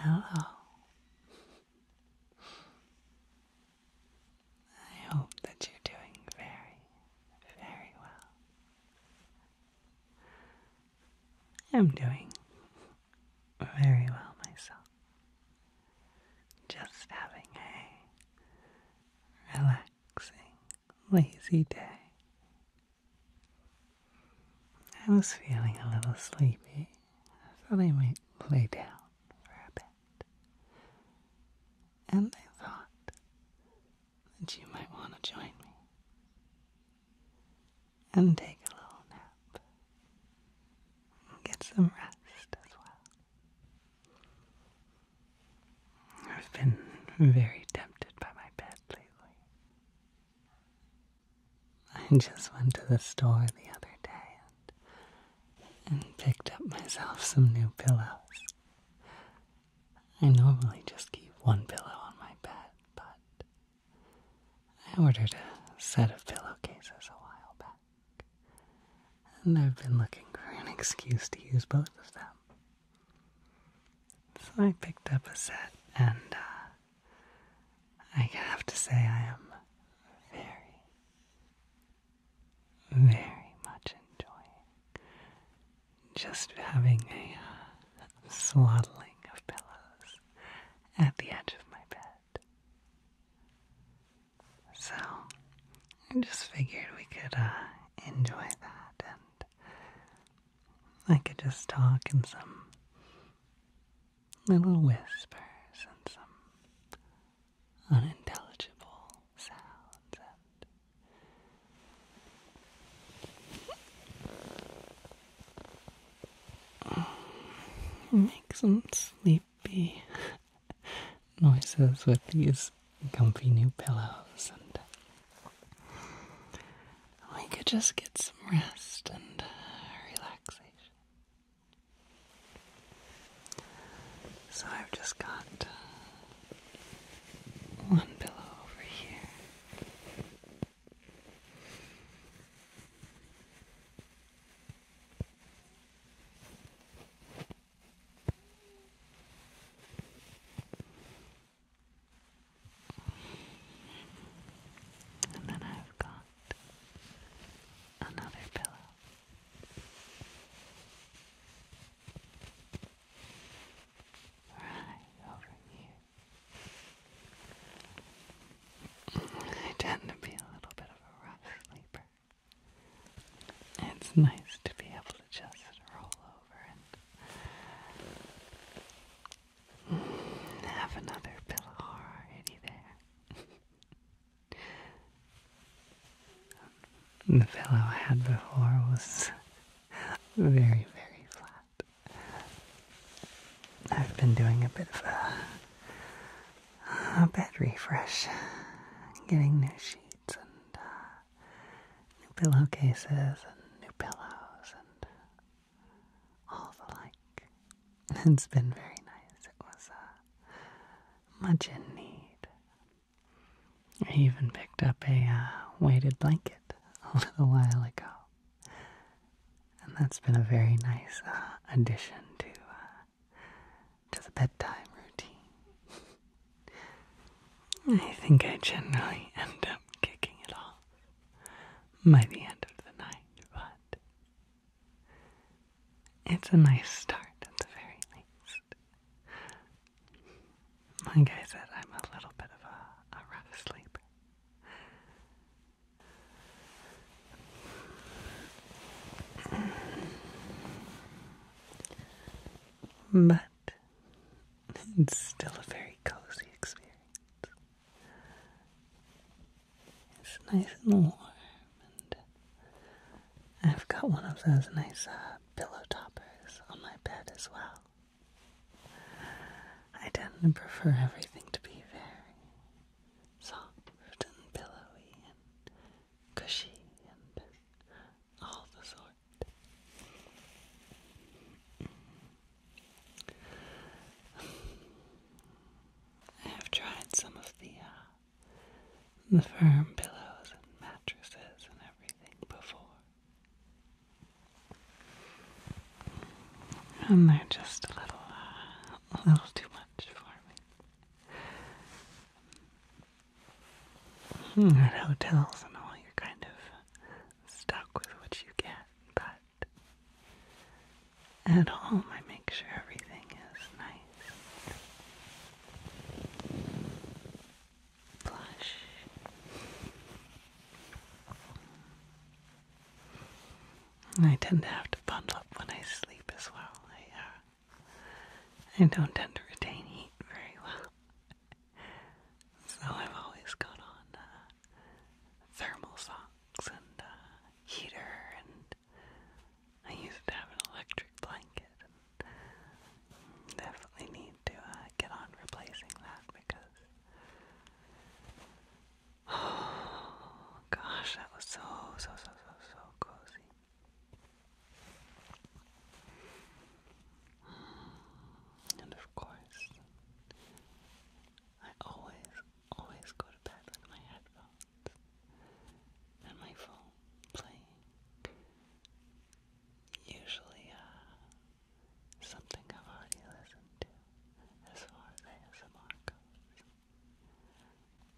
Hello. I hope that you're doing very, very well. I'm doing very well myself. Just having a relaxing lazy day. I was feeling a little sleepy. so I might lay down for a bit. And I thought that you might want to join me and take a little nap get some rest as well. I've been very tempted by my bed I just went to the store the other day and, and picked up myself some new pillows. I normally just keep one pillow on my bed, but I ordered a set of pillowcases a while back, and I've been looking for an excuse to use both of them. So I picked up a set, and uh, I have to say, I am very, very much enjoying just having a uh, swaddling of pillows at the edge of my bed. So I just figured we could uh, enjoy that and I could just talk in some little whispers and some unintelligible sounds and Make some sleepy noises with these comfy new pillows and we could just get some rest and relaxation. So I've just got one pillow over here. And then I've got another pillow. Right over here. I tend to be a little bit of a rough sleeper. It's nice to be able to just roll over and have another pillow already there. the pillow I had before was very, very flat. I've been doing a bit of a, a bed refresh, getting new sheets and uh, new pillowcases and new pillows and all the like. It's been very nice. It was uh, much in need. I even picked up a uh, weighted blanket a little while ago. And that's been a very nice uh, addition to to the bedtime routine. I think I generally end up kicking it off by the end of the night, but it's a nice start at the very least. My guy said, I'm a little bit of a, a rough sleeper. But it's still a very cozy experience. It's nice and warm, and I've got one of those nice uh, pillow toppers on my bed as well. I tend to prefer everything to be very soft and pillowy and cushy and all the sort. I have tried some of the uh, the firm pillows and mattresses and everything before, and they're just a little uh, a little too much for me. Hmm, at hotels and all, you're kind of stuck with what you get, but at home I make sure everything is nice. Plush. I tend to have to bundle up when I sleep as well. I, uh, I don't tend to retain heat very well. So I've always got on uh, thermal socks and uh, heater, and I used to have an electric blanket. definitely need to uh, get on replacing that because oh gosh, that was so so so so, so cozy. And of course, I always, always go to bed with my headphones and my phone playing. Usually, uh, something I've already listened to as far as ASMR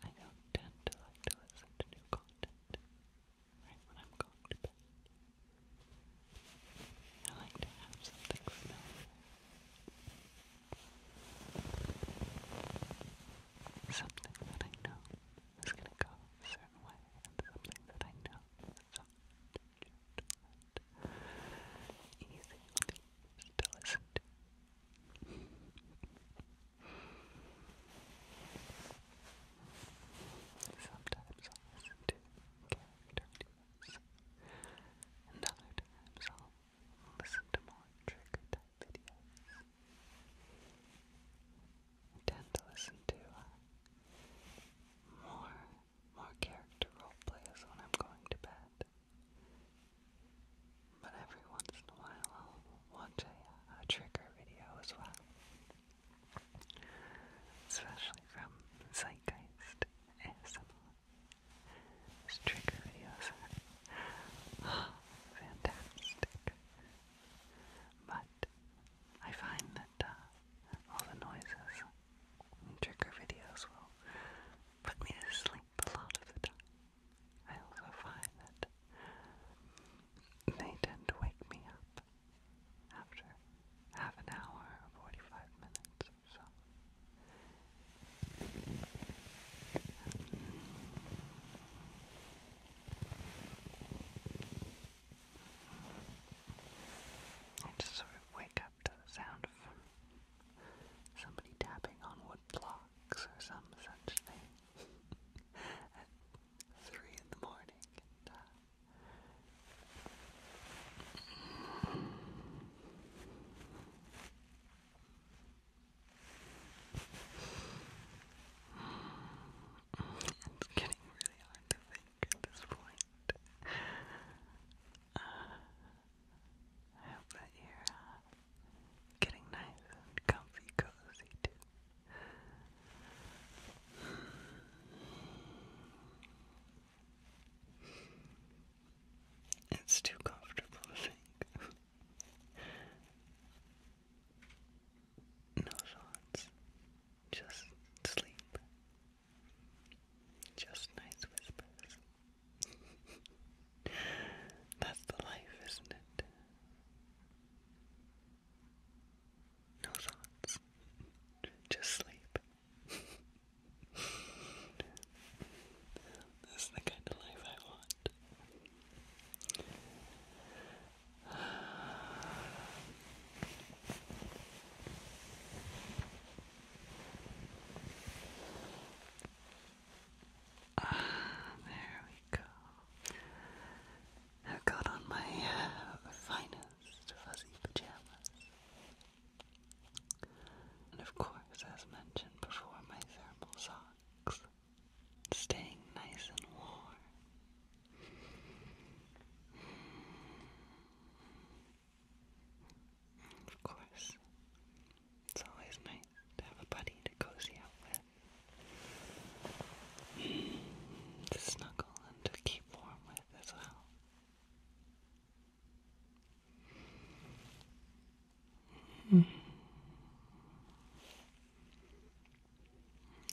I don't tend to like to listen to new content when I'm going to bed. I like to have something familiar. Something that I know is going to go a certain way, and something that I know is soft, gentle, and easy to listen to. Sometimes i listen to character videos, and other times i listen to more trigger type I tend to listen to more more character role plays when I'm going to bed. But every once in a while i a, trigger video as well. Especially from Zeitgeist ASMR. trigger videos fantastic. But I find that uh, all the noises in trigger videos will put me to sleep a lot of the time. I also find that they tend to wake me up after half an hour 45 minutes or so. I just sort of wake except the sound of somebody tapping on wood blocks or some such thing at three in the morning. Uh, it's getting really hard to think at this point. Uh, I hope that you're uh, getting nice and comfy, cozy too. It's too comfortable to think. no thoughts, just sleep. Just nice whispers. That's the life, isn't it? No thoughts. Just sleep. That's the kind of life I want. Ah, there we go. i got on my uh, finest fuzzy pajamas. And of course, as mentioned before, my thermal socks. Staying nice and warm. Of course, it's always nice to have a buddy to cozy out with, to snuggle and to keep warm with as well.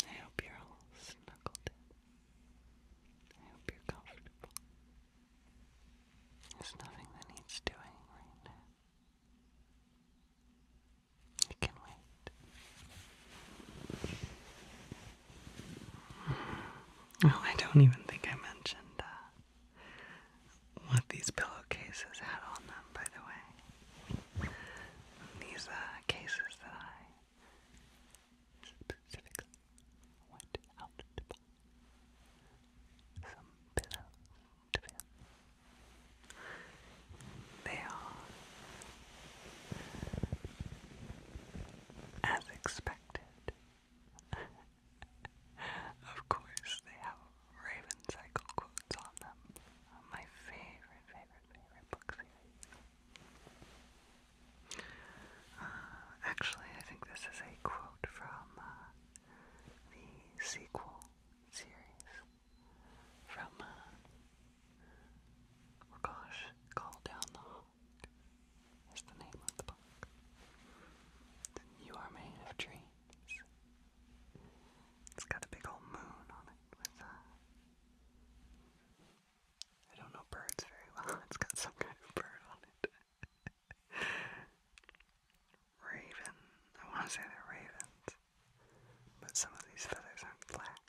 I hope you're all snuggled in. I hope you're comfortable. There's nothing that needs doing right now. It can wait. Oh, I don't even think I mentioned uh, what these pillowcases had on them, by the way. These uh, cases that I Specifically, I went some pillows to fill. They are, as expected, of course they have Raven Cycle quotes on them. My favorite, favorite, favorite book uh, actually, I think this is a quote from uh, the sequel series from, uh, oh gosh, Call Down the Hawk is the name of the book. You Are Made of Dreams. It's got a big old moon on it with uh, I don't know birds very well. It's got some kind of bird on it. Raven. I want to say they're ravens, but some of these feathers aren't black.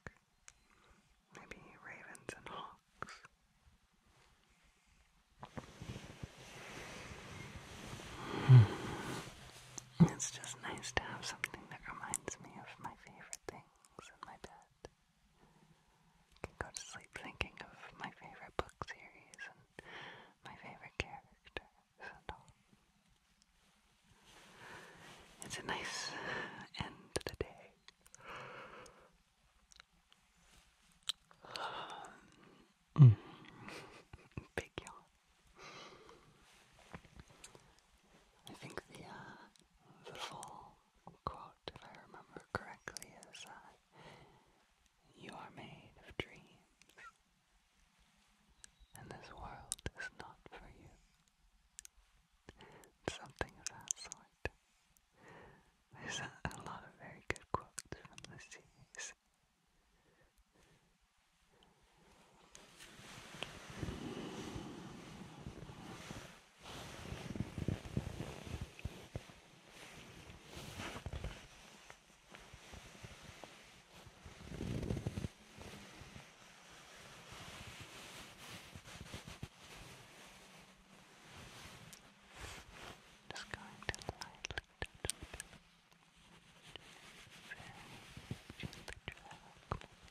Maybe ravens and hawks. Hmm. It's just nice to have something that reminds me of my favorite things in my bed can go to sleep thinking of my favorite book series and my favorite characters It's a nice end to the day. Mm. big yawn. I think the uh, the full quote, if I remember correctly, is that uh, You are made of dreams, and this world is not for you. Something of that sort. There's a lot of very good quotes from the series. Just going to lightly touch it. Very gently travel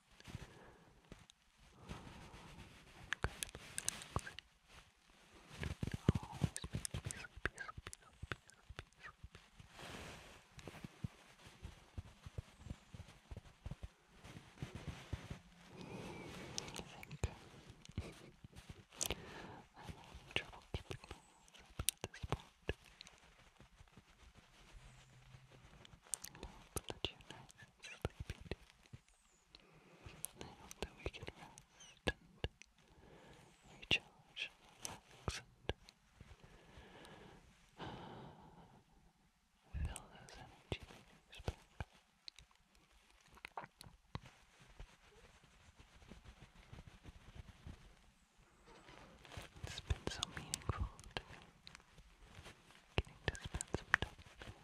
I'm having trouble keeping my eyes open at this point hope that you're nice that we can rest and recharge relax and fill those energy meters it's been so meaningful to me getting to spend some time with you.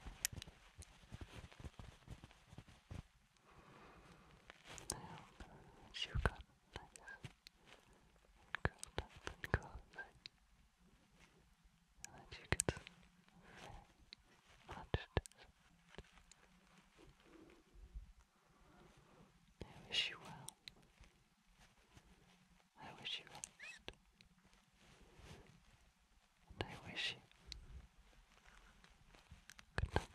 that you've gotten nice and curled up and that you get some very much I wish you well. I wish you rest. I wish you good night.